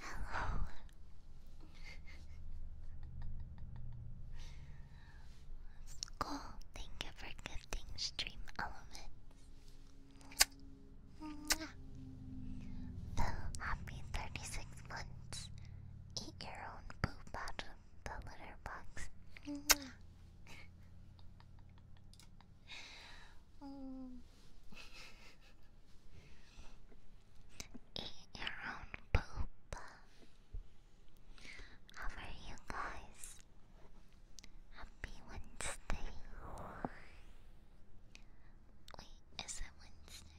Hello. Skull, thank you for gifting stream elements. happy 36 months. Eat your own poop out the litter box. Eat your own poop. How are you guys? Happy Wednesday. Wait, is it Wednesday?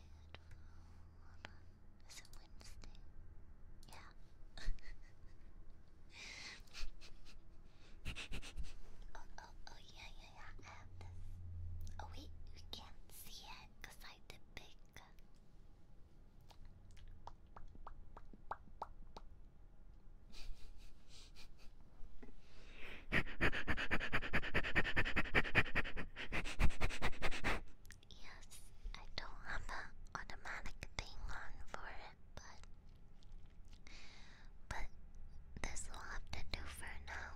Is it Wednesday? Yeah. oh, oh, oh, yeah, yeah, yeah. I have this. Oh, wait, we can't see it because I did big. Uh, Yes, I don't have an automatic thing on for it, but but this will have to do for now.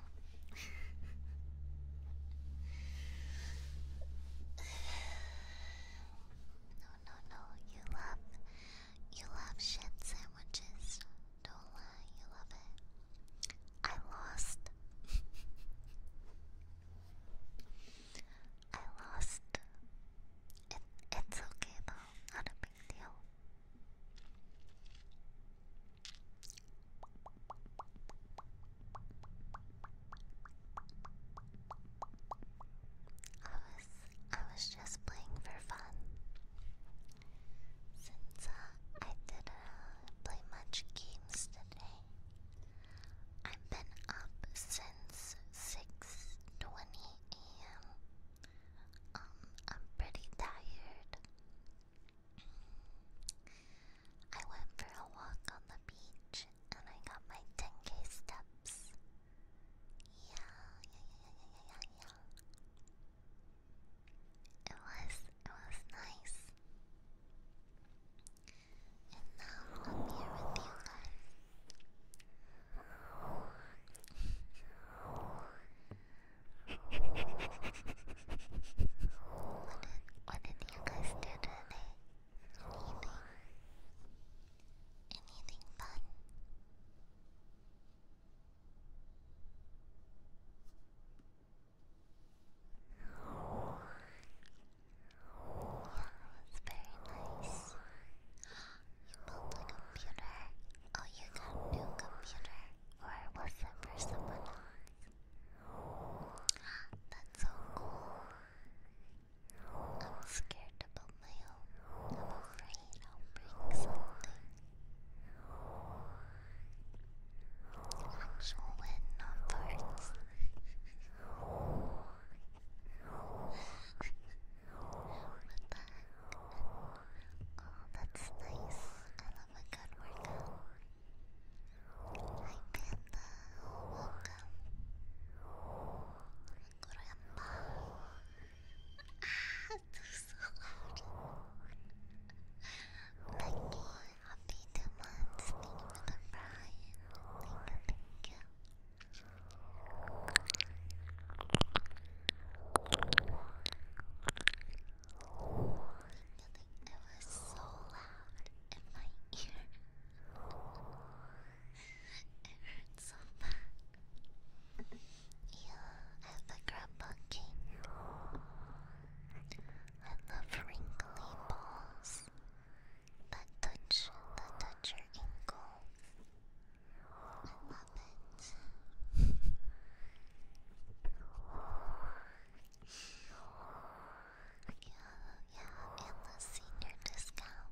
no, no, no. You love you love shit sandwiches. Don't lie. You love it. I lost. I lost. It, it's okay though, not a big deal. I was I was just playing for fun. Since uh, I didn't uh, play much games today, I've been up since 6:20 a.m. Um, I'm pretty tired. I went for a walk on the beach and I got my 10k steps. yeah, yeah, yeah, yeah, yeah, yeah. It was, it was nice. And now I'm here with you guys. what, did, what did you guys do today? Anything? Anything fun? Oh, it's very nice. You built a computer. Oh, you got new computer. Or was it for someone else? That's so cool. I'm scared to build my own. I'm afraid I'll break something. Actual win, not parts. Oh, that's nice. I love a good workout. Hi, Panda. Welcome. Grandpa. Ah, too so loud. Becky, happy two months. Thank you for the prime. Thank thank you was so loud in my ear. it hurt so bad. Yeah, I like rubbucking. I love wrinkly balls. That touch, that touch your ankle. I love it. yeah, yeah, and the senior discount.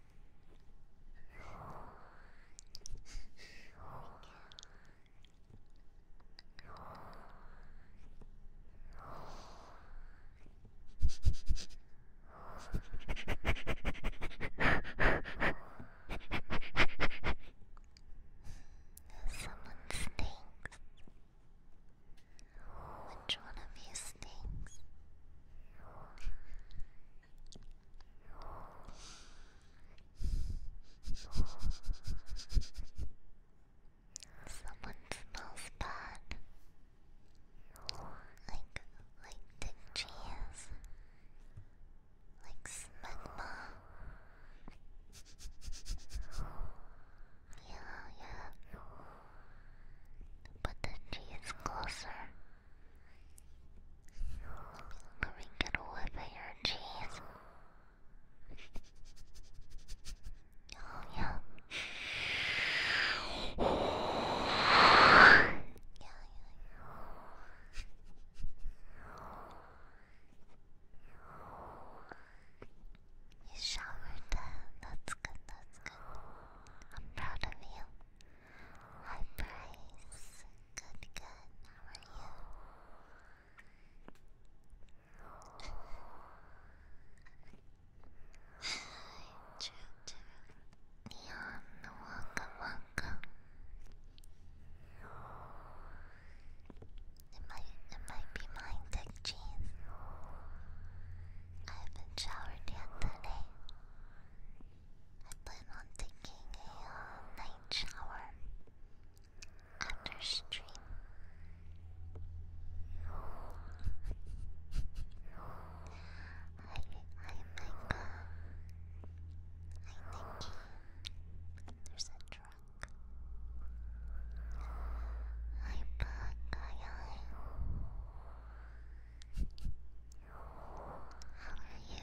Someone stinks. Which one of you stinks? Someone smells bad. Like, like the cheese. Like smegma. Yeah, yeah. Put the cheese closer. Let me get of your cheese. Oh, yeah. yeah, yeah. You showered That's good, that's good. I'm proud of you. Hi, Bryce. Good, good. How are you? True, true. Neon, welcome, welcome. It might, it might be mine, Tech Jeans. I haven't showered today. I plan on taking a uh, night shower after stream. hi, hi, Micah. Hi, Nikki. There's a truck. Hi, Pagaya. Uh, how are you?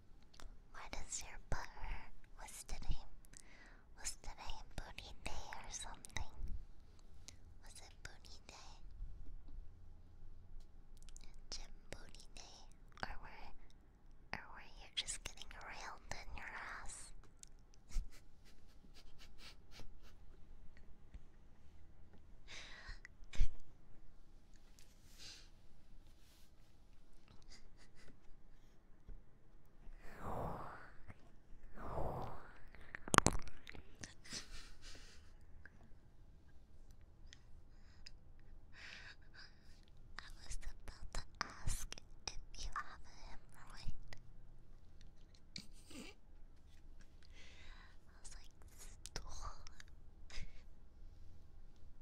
Why does your butt hurt? Was today, was today booty day or something? Was it booty day? Gym day? Or were, or were you just getting railed in your ass? I was about to ask if you have a hemorrhoid. I was like, stool.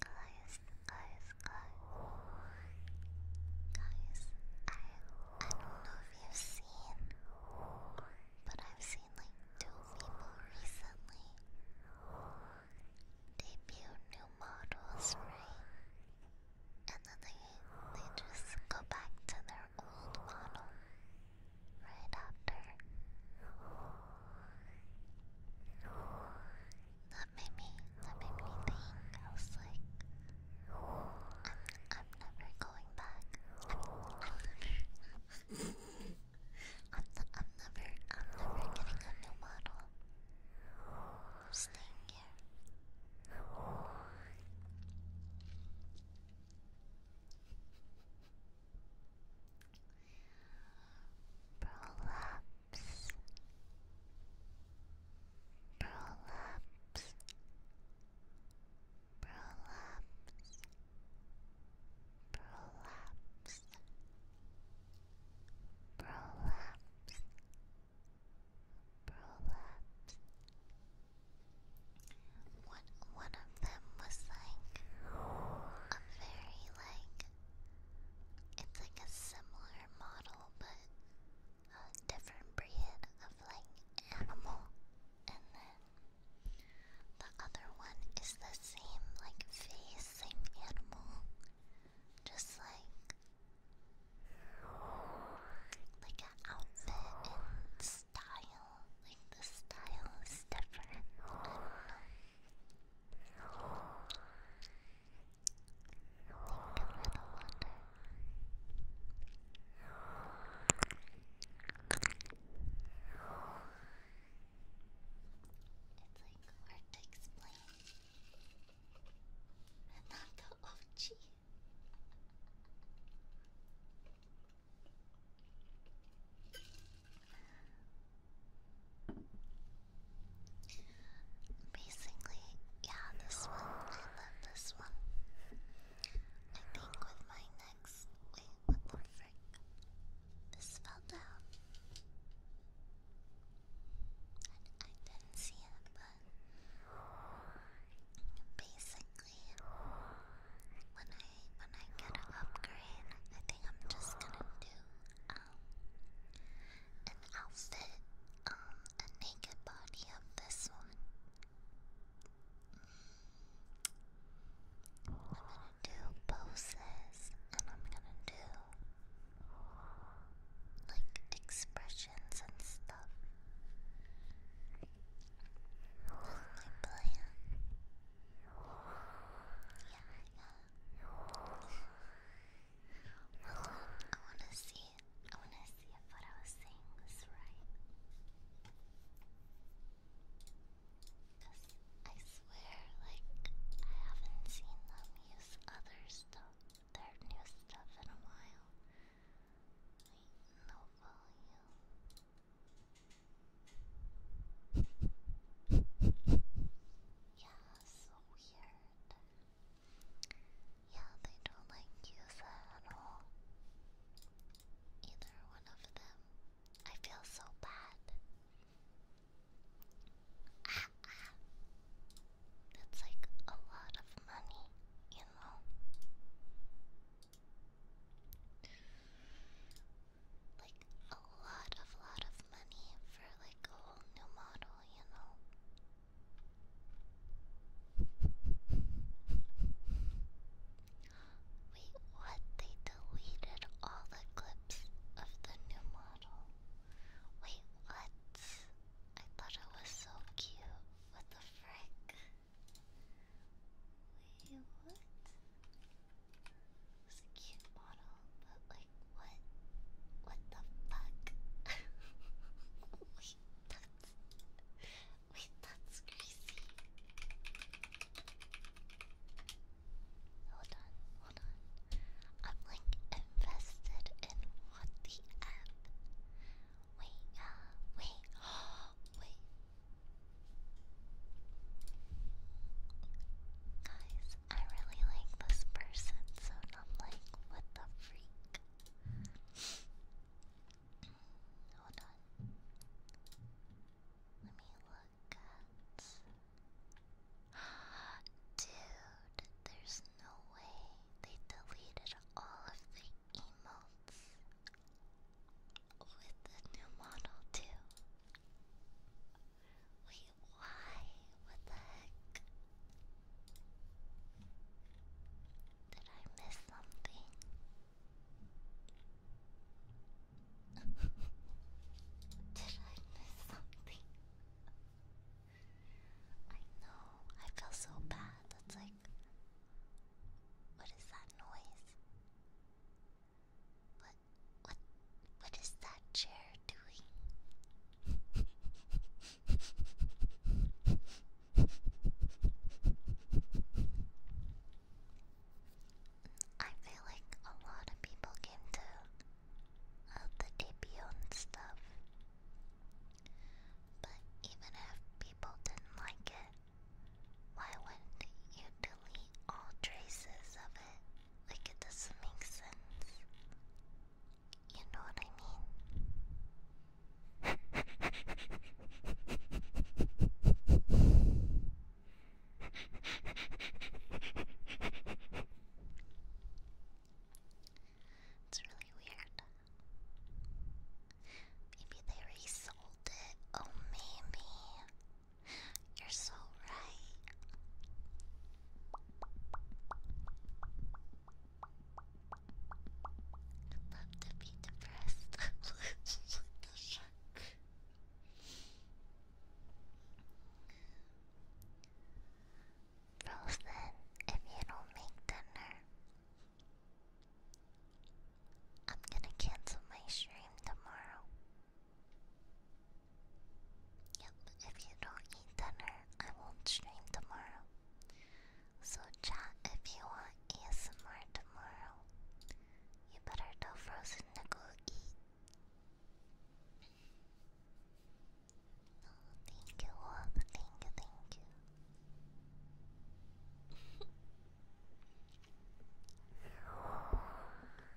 Guys, guys, guys. Guys, I don't know if you've seen but I've seen like two people recently debut new models, right? And then they they just go back to their old model right after. That made me, that made me think. I was like, I'm, I'm never going back. I'm, I'm never, I'm never getting a new model. i staying here. Prolapse. Prolapse. Prolapse. Prolapse. Prolapse. Prolapse. One one of them was like a very like it's like a similar model but a different breed of like animal and then the other one is the same like face, same animal. Just like like an outfit style. Like the style is different. It's like hard to explain. And not the OG. Basically, yeah, this one. I love this one. I think with my next. Wait, what the frick? This fell down. I, didn't see it, but. Basically, when I when I get an upgrade, I think I'm just gonna do um, an outfit, um, a naked body of this one. I'm gonna do poses and I'm gonna do like expressions and stuff. That's my plan. Well, I want to see. I want to see if what I was saying was right. Cause I swear, like I haven't seen them use other stuff, their new stuff in a while. Wait, no volume yeah, so weird. Yeah, they don't like Yusa at all. Either one of them. I feel so bad. Ah, ah. That's like a lot of money, you know like a lot of lot of money for like a whole new model, you know. Wait, what? They deleted all the clips of the new model. Wait, what? I thought it was so cute. What the frick? Wait, what? It's a cute model, but like what? What the fuck? wait, that's wait, that's crazy. Hold on, hold on. I'm like invested in what the app. Wait, uh, wait, wait, Guys, I really like this person, so i like, what the freak? Hold on. Let me look Dude, there's no way they deleted all of the emotes with the new model too. Wait, why? What the heck? Did I miss something? Did I miss something? I know, I feel so bad. That's like. What is that noise? But what what is that chair doing? I feel like a lot of people came to uh, the stuff, but even if people didn't like it, why wouldn't you delete all traces of it. Like it doesn't make sense. You know what I mean? it's really weird. Maybe they resold it. Oh, maybe. You're so right. love to be depressed. what the fuck? Frozen, if you don't make dinner, I'm gonna cancel my stream tomorrow. Yep, if you don't eat dinner, I won't stream tomorrow. So chat, if you want ASMR tomorrow, you better tell Frozen to go eat. Oh, thank you, love. Thank you, thank you.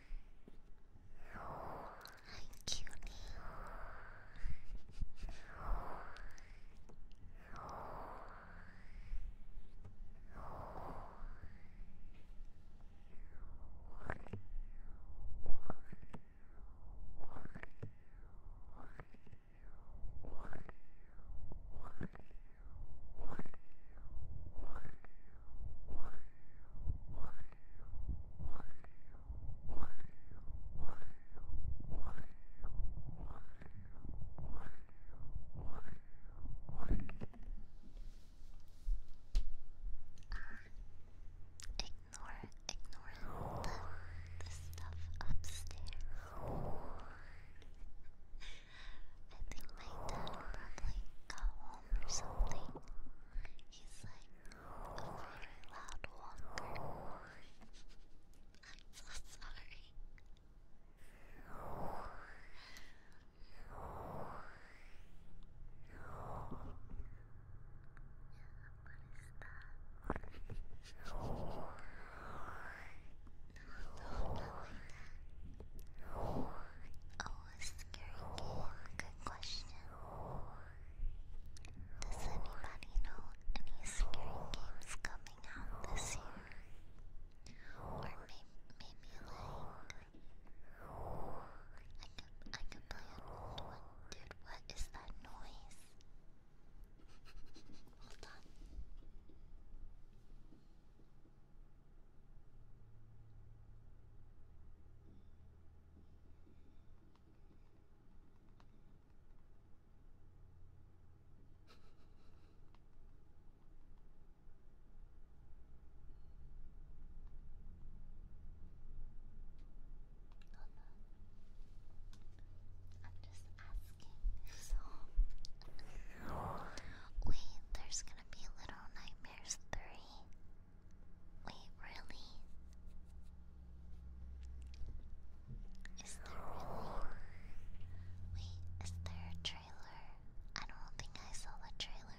Hi, cutie ignore, ignore the, the stuff upstairs. I think my dad probably got home or something. He's like, loud walker. I'm so sorry. What is that? Oh, scary Good question. Does anybody know any scary games coming out this year? Or maybe, maybe like I could I could play an old one. Dude, what is that noise? Hold on wait, there's gonna be Little Nightmares 3. Wait, really? Is there Wait, is there a trailer? I don't think I saw the trailer.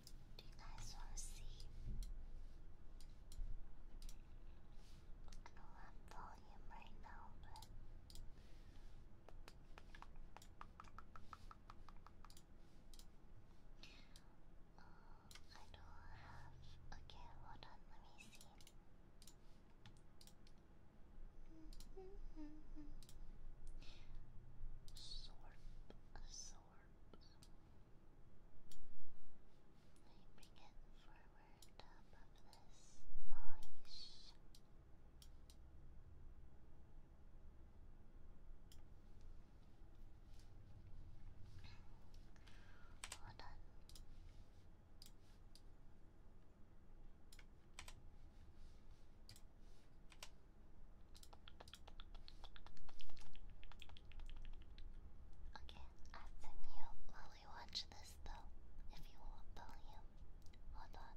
Do you guys want to see I don't have volume right now, but I don't have. Okay, hold on. Let me see. Sorp, sorp. I bring it forward up of this Hold on. Okay, i you while we watch this though, if you want volume. Hold on.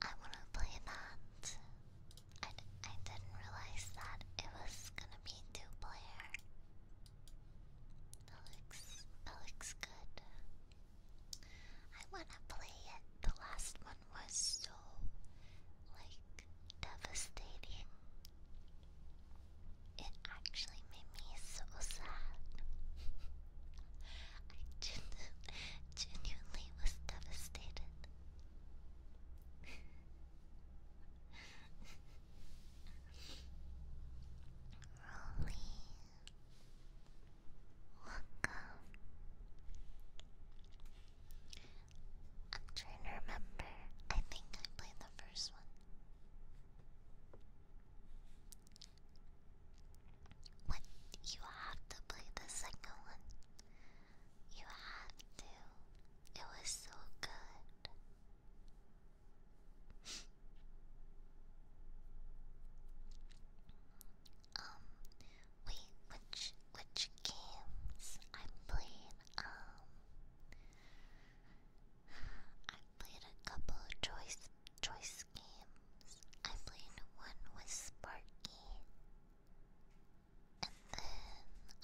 I wanna play that. I d I didn't realize that it was gonna be two player. That looks, good. I wanna play it. The last one was so, like, devastating. It actually made me so sad. I genuinely was devastated. Rolly, welcome. I'm trying to remember. I think I played the first one. What you have to play the second one. You have to. It was so good. um, wait, which which games I played? Um, I played a couple choice choice games. I played one with Sparky. And then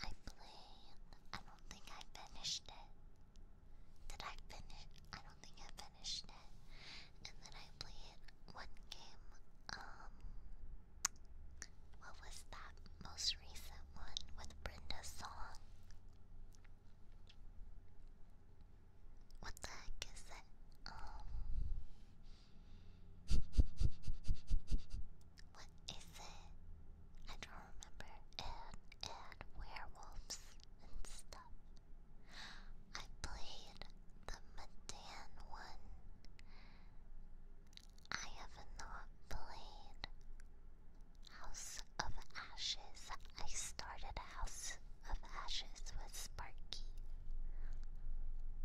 I played. I don't think I finished it. Did I finish? I don't think I finished it. And then I played one game. Um, what was that most recent one with Brenda's song? What the heck is it? Um, what is it? I don't remember. And and werewolves and stuff. I played the Medan one. I have not played House of Ashes. I started House of Ashes with Sparky.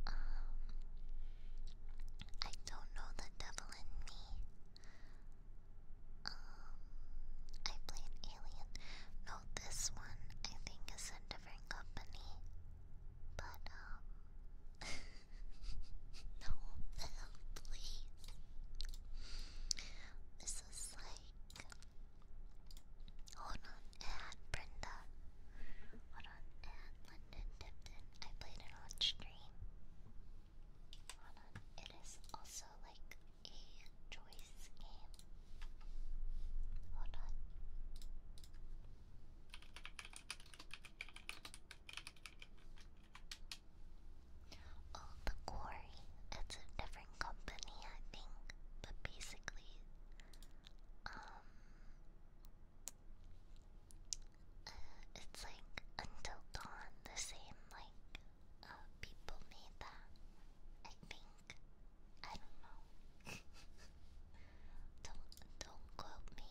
Um, I don't know the devil in me. Um, I played Alien. No, this one I think is a different company. But um, no, please. This is like. Hold on, add Brenda. Hold on, add London Tipton. I played it on stream. Hold on. It is also like a choice game. Hold on. Oh, the quarry. It's a different company, I think. But basically, um, it's like Until Dawn, the same like uh, people made that. I think. I don't know. don't don't quote me.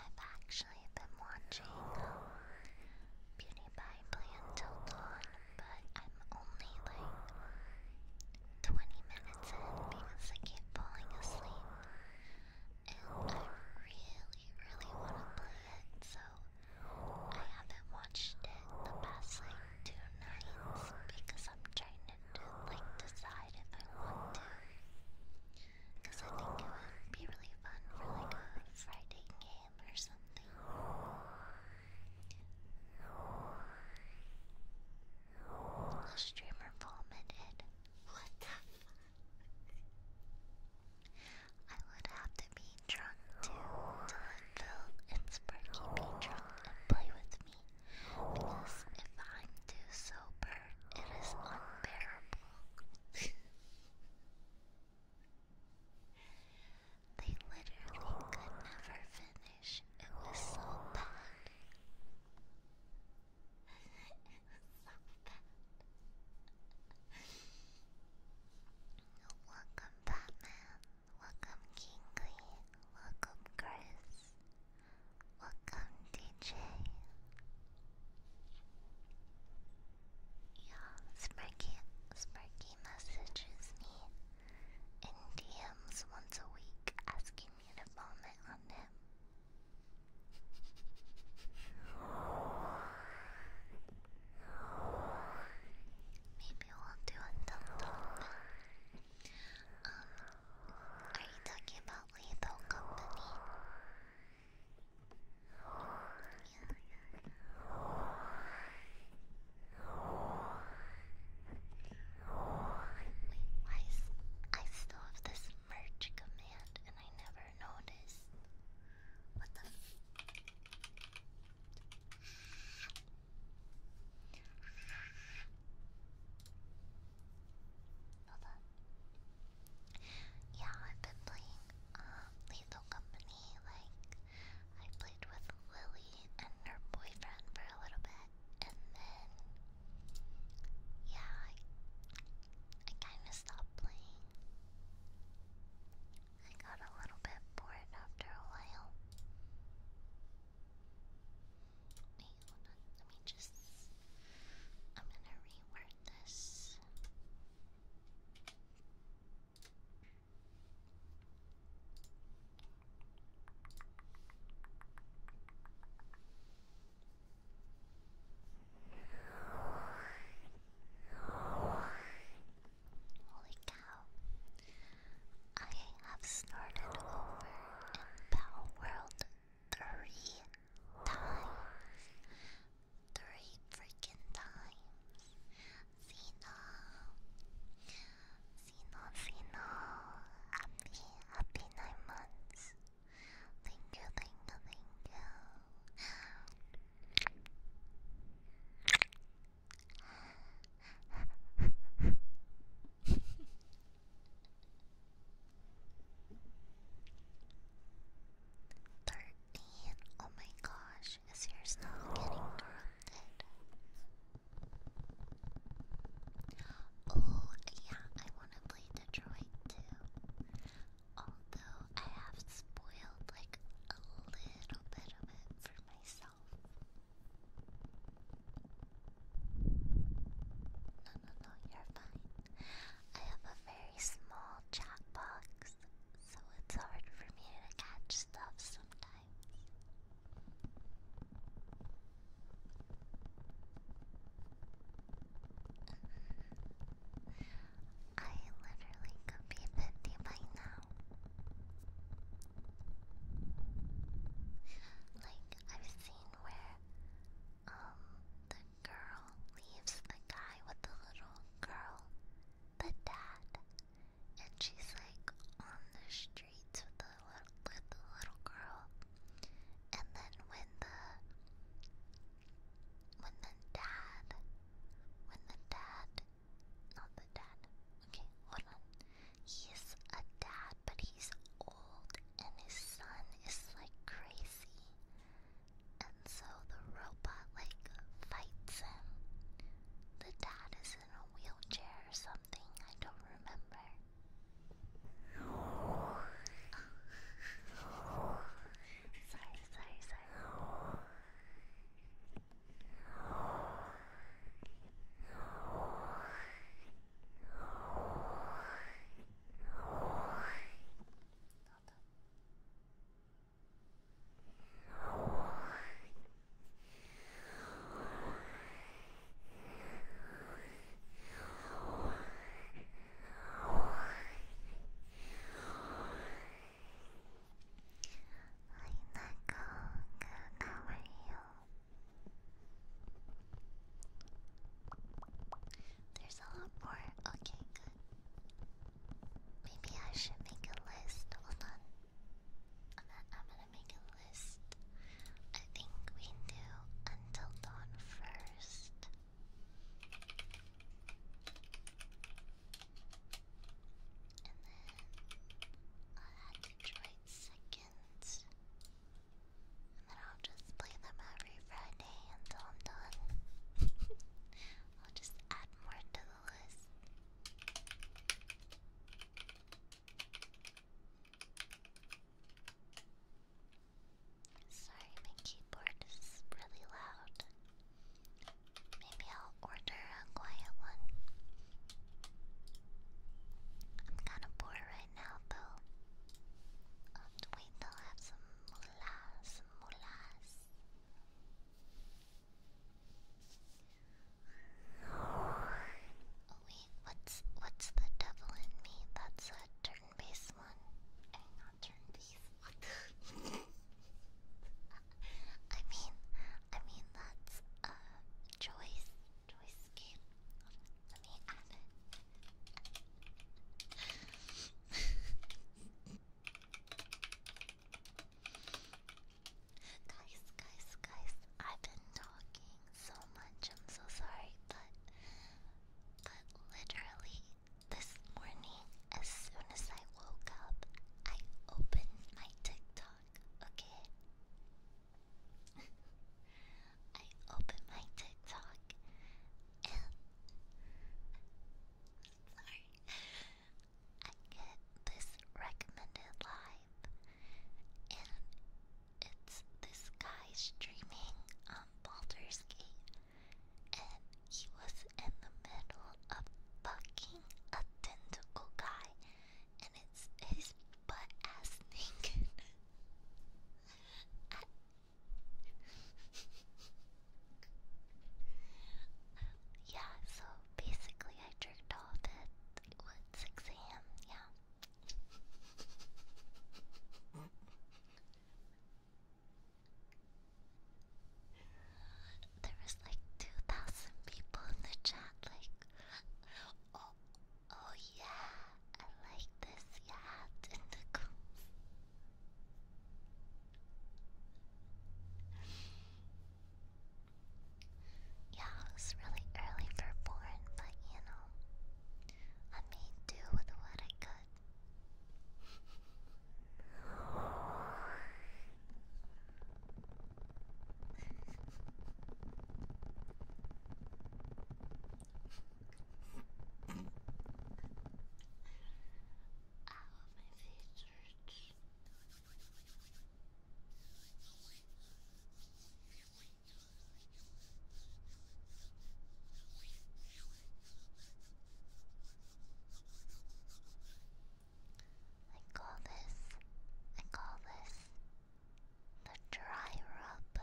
I've actually been watching um, Beauty by Play Until Dawn, but I'm only like 20 minutes in because I keep falling asleep. And I really, really want to play it, so I haven't watched it the past like two nights because I'm trying to like decide if I want to. Because I think it would be really fun for like a Friday game or something. A streamer vomited. What the fuck? I would have to be drunk too to and Sparky be drunk and play with me. Because if I'm too sober, it is unbearable they literally could never finish. It was so bad. it was so bad. Welcome, Batman. Welcome, Kingly. Welcome, Chris. Welcome, DJ. Yeah, Smirky, Smirky messages me in DMs once a week asking me to vomit on him. Maybe we'll do a dumb Um, are you talking about Lethal Company? Wait, I, still have this merge command and I never noticed. What the yeah, I've been playing um, Lethal Company. Like, I played with Lily and her boyfriend for a little bit, and then yeah, I, kind of stopped playing. I got a little bit bored after a while. Let me just I'm gonna reword this. Holy cow. I have snorted over in Bow World three times. Three freaking times. Zeno. Zeno, Zeno. Happy, happy nine months. Thank you, thank you, thank you. Thirteen. Oh my gosh, is yours not getting corrupted? Oh yeah, I wanna play Detroit too. Although I have spoiled like a little bit of it for myself. No, no, no, you're fine. I have a very small chat box, so it's hard for me to catch stuff sometimes. I literally could be 50 by now. Like, I've seen where, um, the girl leaves the guy with the little girl, the dad, and she's like on the streets with the, little, with the little girl. And then when the when the dad, when the dad, not the dad. Okay, hold on. He's a dad, but he's old, and his son is like crazy and so the robot like fights him. The dad is in a wheelchair or something, I don't remember. sorry, sorry, sorry not done. Hi, Nako. are you? There's a lot more. Okay, good. Maybe I should make a list. Hold on. I'm gonna, make a list. I think we do until dawn first. And then I'll add Detroit second. And then I'll just play them every Friday until I'm done. I'll just add more to the list. Sorry, my keyboard is really loud. Maybe I'll order a quiet one. I'm kinda bored right now though. I'll have to have some moolah, Oh wait, what's what's the devil in me? That's a turn-based one. I eh, not turn-based. I mean, I mean that's a choice, choice game. Let me add it. Guys, guys, guys, I've been talking so much, I'm so sorry, but but literally this morning, as soon as I woke up, I opened my TikTok, okay? I opened my TikTok and sorry. I get this recommended live, and it's this guy streaming on um, Baldur's Gate, and he was in the middle of fucking a tentacle guy, um, and it's his butt ass naked. yeah, so basically I jerked off at what 6 a.m. Yeah. there was like 2,000 people in the chat, like, oh, oh yeah, I like this, yeah, tentacles. Yeah, it was really early for born, but you know, I made do with what I could. I love my features. I call this, I call this the dry rub.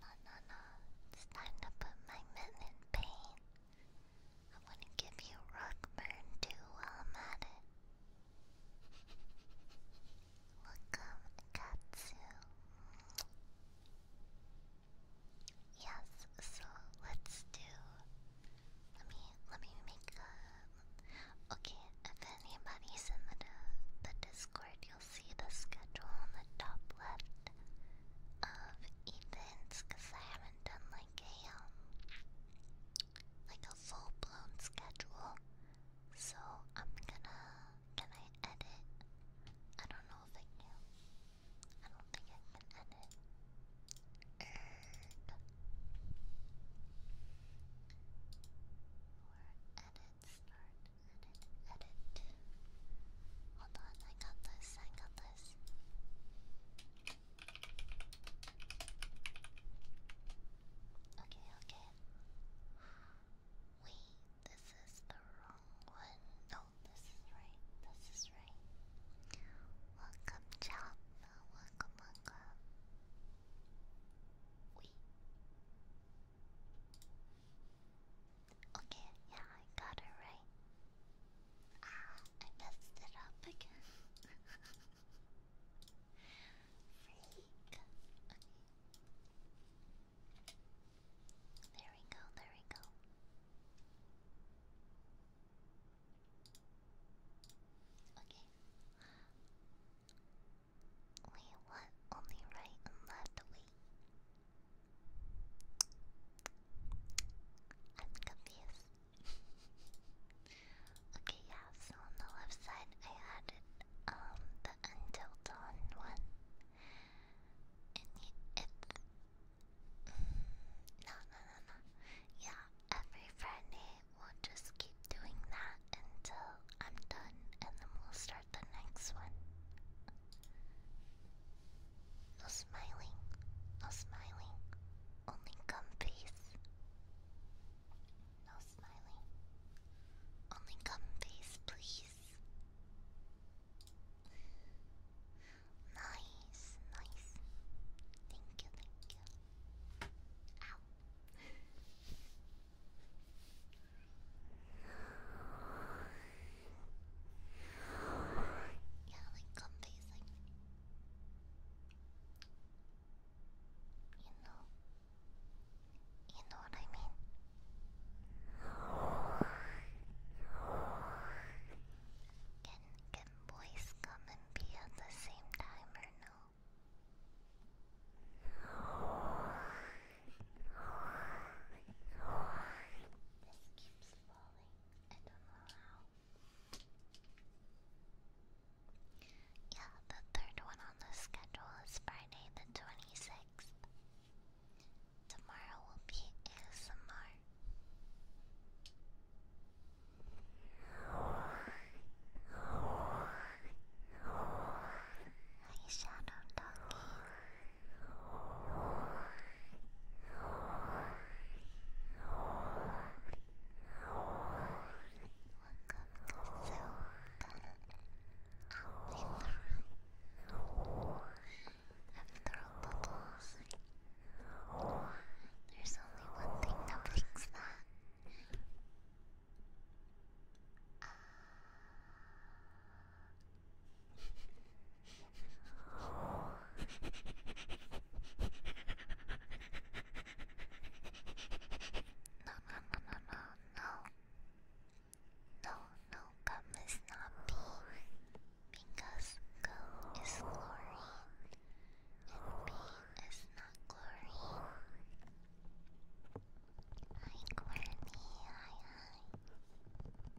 No, no, no. It's time to put my men in pain. I want to give you rock burn too while I'm at it. Welcome, Katsu. Yes, so let's do. Let me let me make Okay, if anybody's in the the Discord, you'll see the schedule on the top left of events, cause I haven't done like a um like a full blown schedule. So I'm gonna. Can I edit? I don't know if I can. I don't think I can edit. Erg. Or edit, start, edit, edit. Hold on, I got this, I got this. Okay, okay. Wait, this is the wrong one. No, this is right. This is right. Welcome, Chop. Welcome, welcome. We. Okay, yeah, I got it right. Ah, I messed it up again. Freak. There we go, there we go. Okay. Wait, what? Only right and left, wait. I'm confused. okay, yeah, so on the left side I added um the until dawn one. And it, it no, no, no, no. Yeah, every Friday we'll just keep doing that until I'm done, and then we'll start the next one. No smiling, no smiling, only gum face. No smiling, only gum face, please. Nice, nice. Thank you, thank you. yeah, like come like you know. You know what I mean? Can can boys come and pee at the same time or no? This keeps falling. I don't know how. Yeah, the third one on the schedule is Friday the 26th. Tomorrow will be ASMR. Hi, Shadow Doggy. Welcome, Kazoo. the room and throw bubbles. There's only one thing that makes that. no, no, no, no, no, no, no, no, gum is not pain, because gum is chlorine, and pain is not chlorine. Hi, Querny, hi, hi. Hi,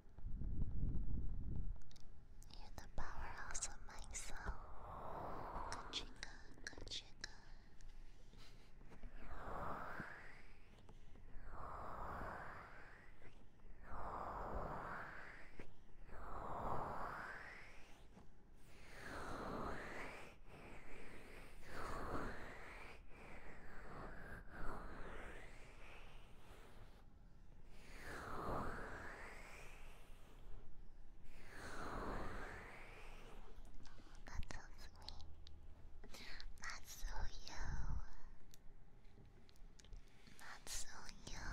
You're the powerhouse of my soul. chica, good that's so sweet. That's so you. That's so you.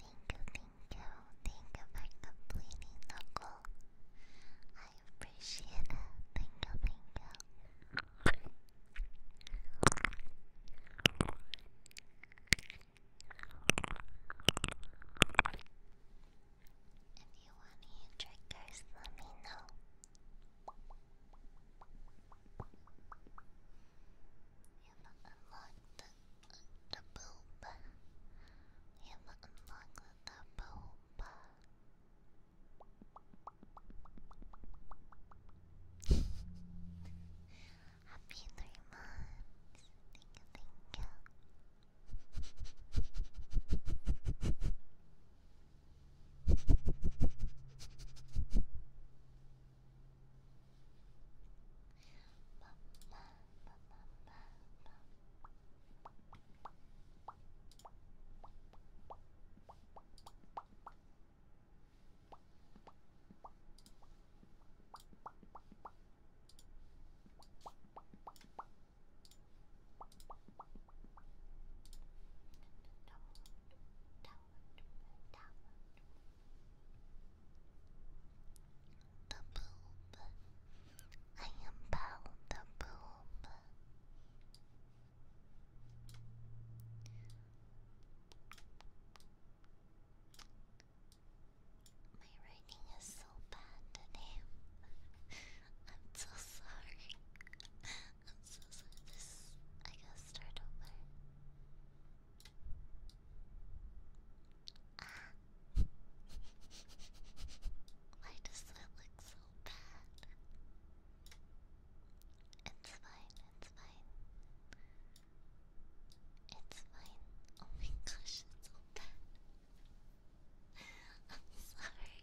thank you, thank you, thank you for completing the goal appreciate it. Thank you, thank you. If you want any triggers, let me know. We have unlocked the, the boob. We have unlocked the boob. Happy three months. Thank you, thank you. The boob. I am about the boob. My writing is so bad today. I'm so sorry. I'm so sorry. I gotta start over. Ah. Why does that look so bad? It's fine, it's fine. It's fine. Oh my gosh, it's okay. I'm sorry.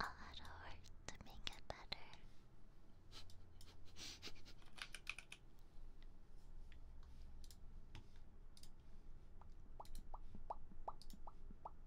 I'll have to work to make it better.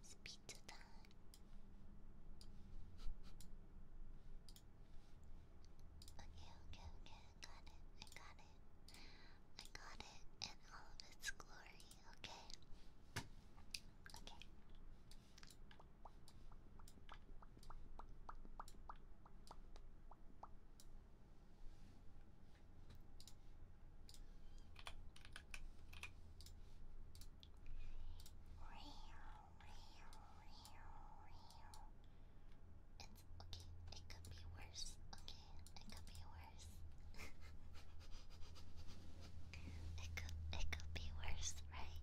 It's pizza time. okay, okay, okay, got it, I got it. I got it in all of its glory, okay? Okay. It's okay, it could be worse. Okay, it could be worse. it could it could be worse, right?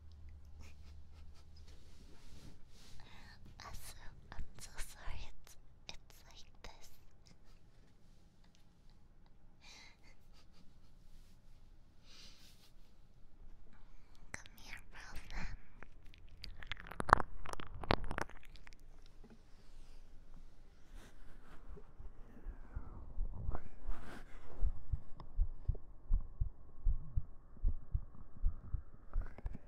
I'm so I'm so sorry it's like this. Come here, Frozen.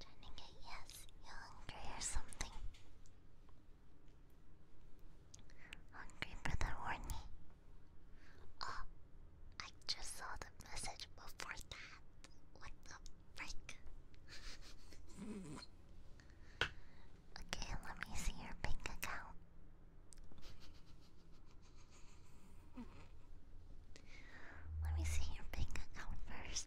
trying to get yes? You hungry or something? Hungry, brother Warnie? Oh, I just saw the message before that. What the frick? Okay, let me see your bank account. Let me see your bank account first.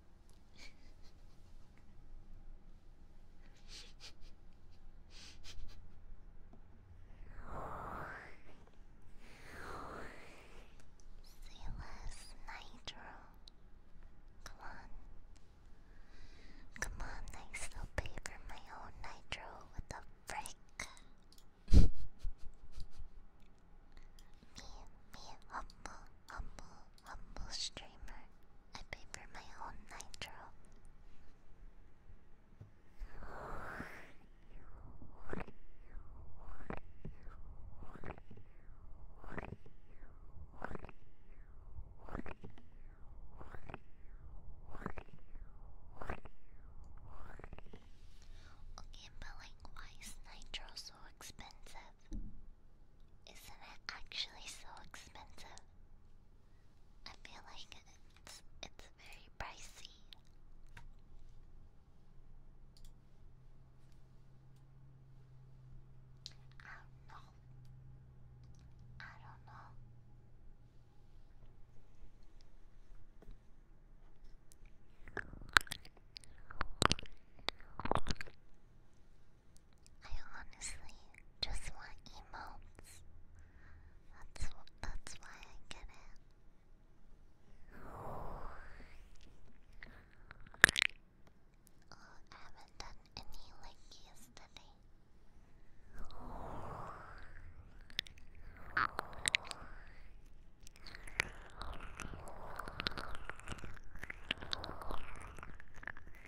Sailors Nitro. Come on. Come on, I still pay for my own Nitro with a frick. me, me, humble, humble, humble streamer. I pay for my own nitro. Okay, but like, why is nitro so expensive? Isn't it actually so expensive? I feel like it's it's very pricey. I don't know. I don't know. I honestly just want emotes. That's that's why I get it. Oh, I haven't done any like yesterday.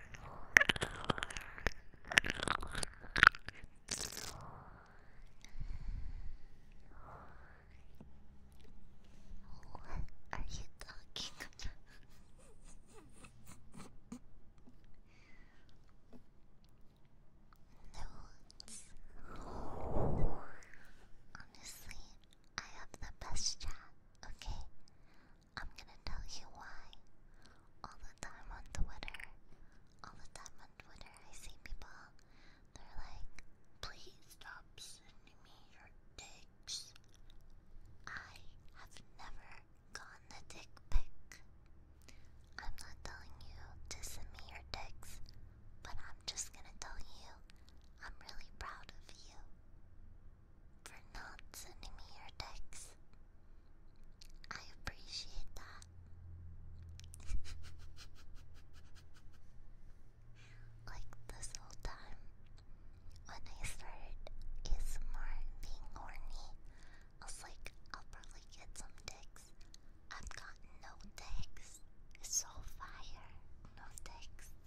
are you talking about? Honestly, I have the best chat, okay? I'm gonna tell you why. All the time on Twitter, all the time on Twitter, I see people, they're like, please stop sending me your dicks. I have never gotten a dick pic. I'm not telling you to send me your dicks, but I'm just gonna tell you, I'm really proud of you for not sending me your texts. I appreciate that. like this whole time, when I started ASMR being horny, I was like, I'll probably get some dicks. I've got no dicks. It's so fire. No dicks.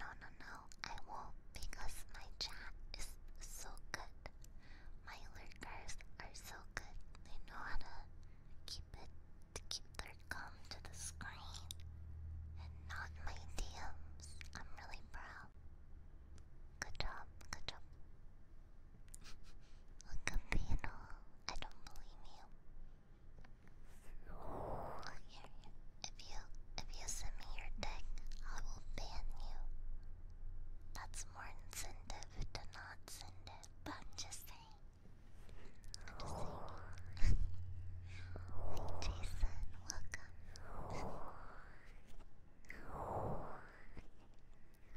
no, no, no, I won't because my chat is so good. My lurkers are so good. They know how to keep it, to keep their gum to the screen and not my DMs. I'm really proud. Good job, good job. Look at Pino. I don't believe you. if you if you send me your deck, I will ban you. That's more incentive to not send it, but I'm just saying. I'm just saying. hey Jason, welcome.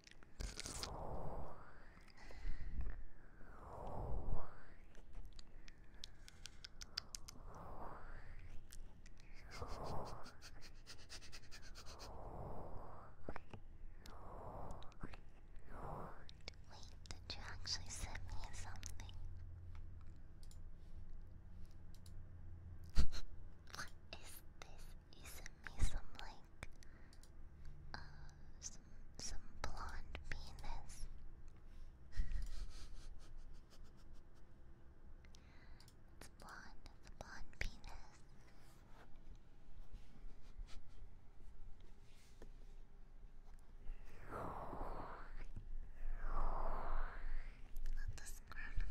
did you actually send me something? what is this? You sent me some uh, some some blonde penis. blonde. blonde penis. Not the scrotum.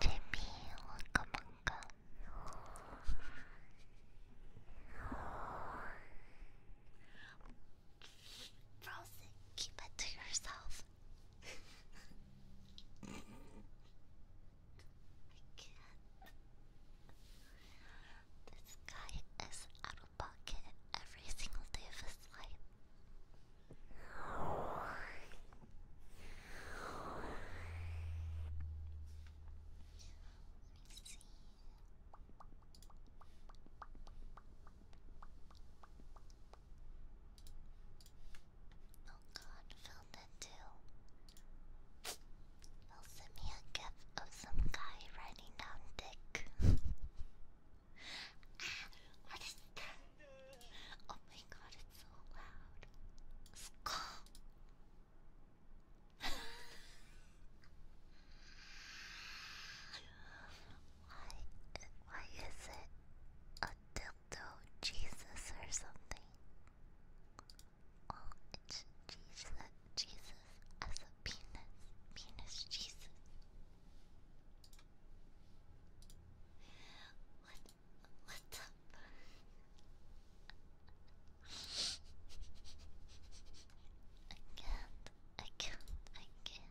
Timmy, waka waka. Frozen, keep it to yourself. I can't. This guy is out of pocket every single day of his life. Let me see. Oh God, filled it too. They'll send me a gif of some guy writing down dick. Ah, what is that? Oh my god, it's so loud. Skull. why, why is it a dildo Jesus or something? Oh, Jesus, Jesus as a penis, penis Jesus. What, what's up? I can't, I can't, I can't.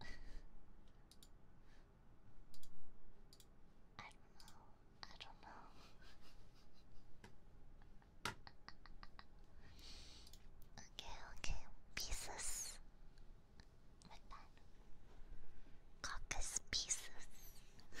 I don't know. I don't know. okay, okay. Pieces. Like that. Caucus pieces.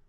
taxi.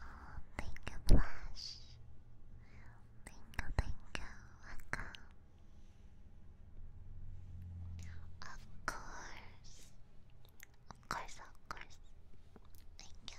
Oh, thank you, Flash. Thank you, thank Of course. Of course, of course. Thank you,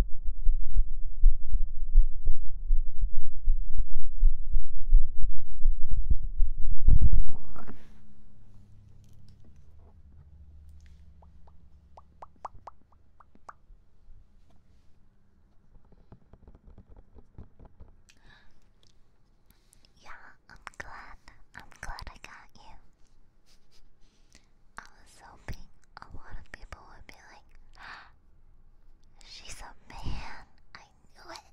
Yeah, I'm glad. I'm glad I got you. I was hoping a lot of people would be like, She's a man. I knew it.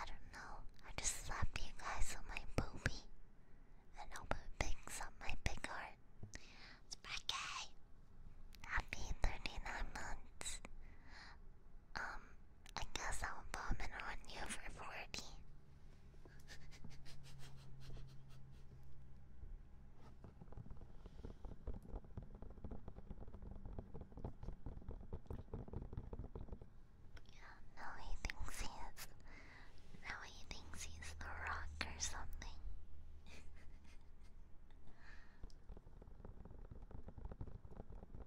I don't know. I just slapped you guys on my booby and opened things on my big heart. Sparky! Happy 39 months. Um, I guess I'll bomb it on you for 40. yeah, now he thinks he Now he thinks he's the rock or something.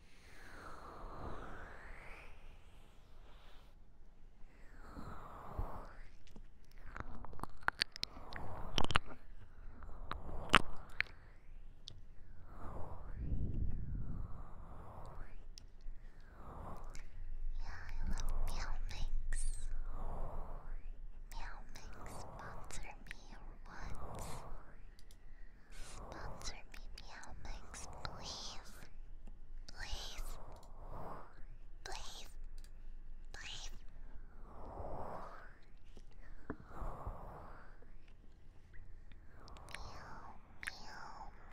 love meow mix. Meow mix sponsor me or Sponsor me, Meow Mix, please. Please. Please. Please. Meow, meow,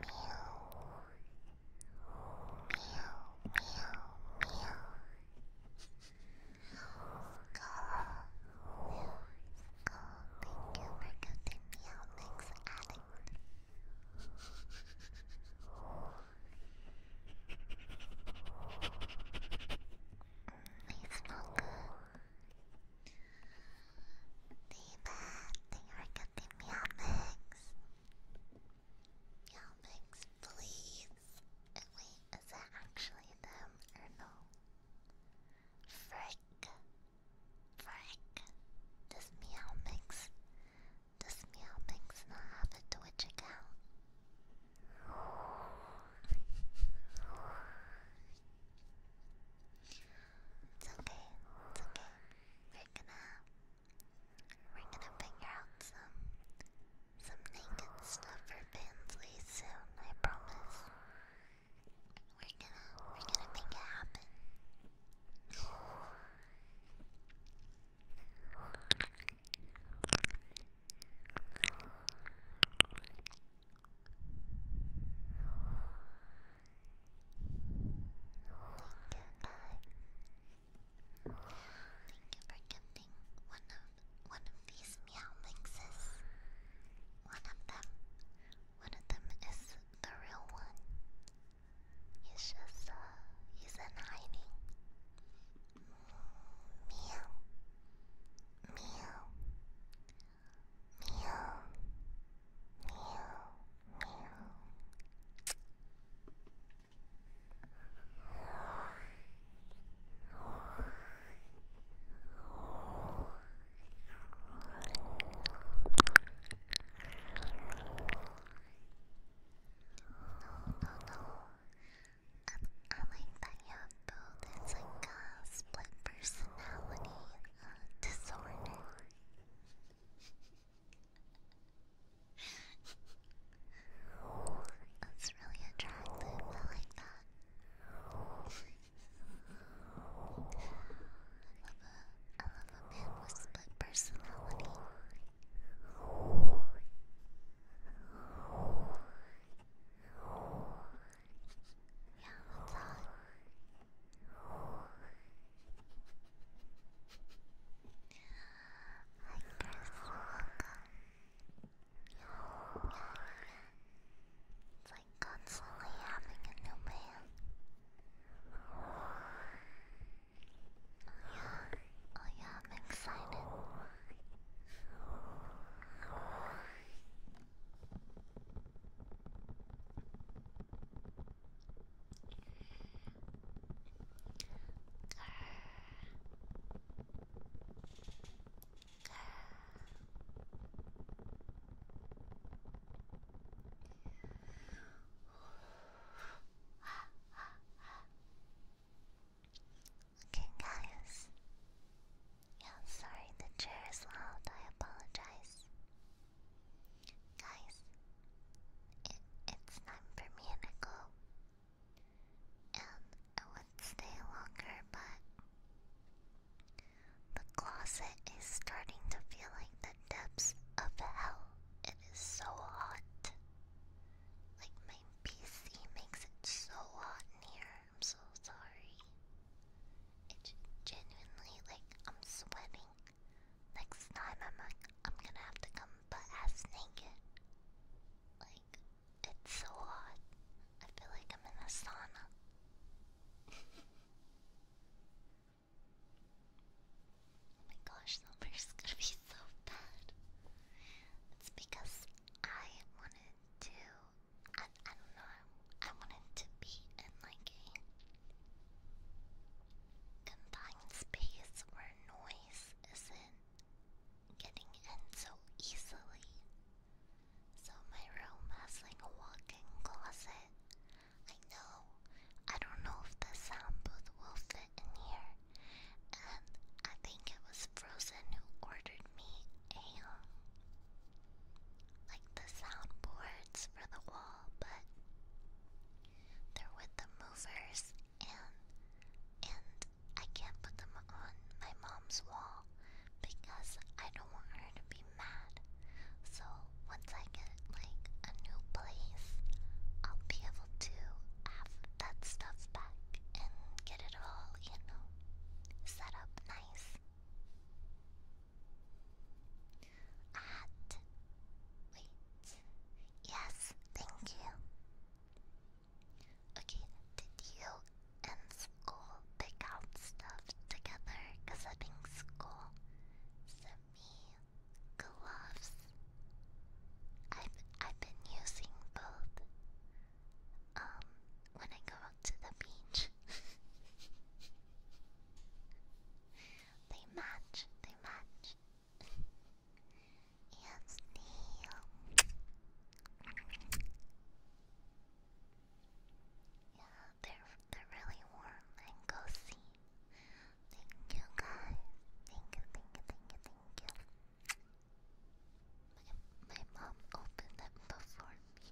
meow. Meow, meow, meow. Skull. Skull, thank you for getting meow mix addict not good. Demon, they are getting me a mix. please. And wait, is that actually them or no? Frick. Frick. Does Meow does Meow not have a Twitch account? It's okay, it's okay. We're gonna we're gonna figure out some some naked stuff for Bansley soon, I promise. We're gonna, we're gonna make it happen. Thank you, Thank you for giving one of one of these meow mixes. One of them, one of them is the real one. He's just, uh, he's an hiding. Meow. Meow. Meow. Meow. Meow. I like that you have both. It's like a split personality disorder. That's really attractive. I like that. I love a man with split personality. Yeah, that's hot. Hi, Chris. Welcome. Yeah, yeah, yeah. It's like constantly having a new man yeah, oh yeah, I'm excited. Okay, guys. Yeah, sorry, the chair is loud. I apologize. Guys, it's time for me to go. And I would stay longer, but the closet is starting to feel like the depths of hell. It is so hot. Like my PC makes it so hot in here. so sorry. It's genuinely like I'm sweating. Next time I'm like I'm gonna have to come butt ass naked. Like it's so hot. I feel like I'm in a sauna. Oh my gosh, summer is gonna be so bad. It's because I wanted to. I, don't know. I wanted to be in like a confined space where noise isn't getting in so easily. So my room has like a walk closet I know. I don't know if the sound booth will fit in here. And um, I think it was Frozen who ordered me a um, like the soundboards for the wall, but they're with the movers and and I can't put them on my mom's wall because I don't want her to be mad so once I get like a new place, I'll be able to have that stuff back and get it all, you know, set up nice. A Wait. Yes, thank you. Okay, did you and school pick out stuff together? I think school sent me gloves. I've I've been using both. Um, when I go out to the beach, they match. They match. yes, the yeah, they're they're really warm and cozy. Thank you guys. Thank you, thank you, thank you, thank you. My, my mom opened them before me.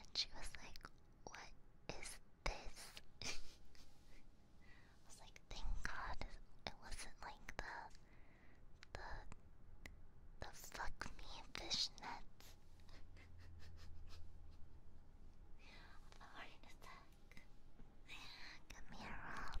And she was like, What is this? I was like, Thank God it wasn't like the the the fuck me fishnets. A heart attack. Give me a rub.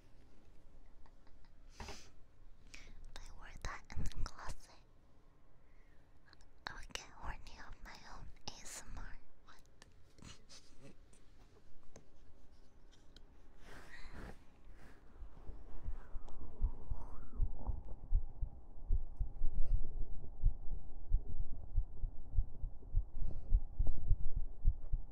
I wore that in the closet. I would get horny on my own ASMR.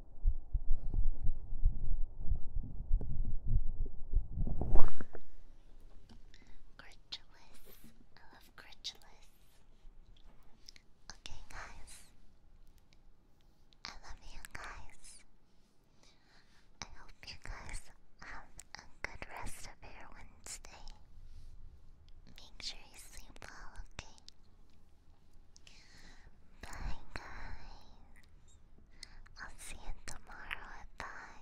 Gritulous. I love Gritulous. Okay, guys. I love you guys. I hope you guys have a good rest of your Wednesday. Make sure you sleep well, okay? Bye, guys. I'll see you tomorrow Bye.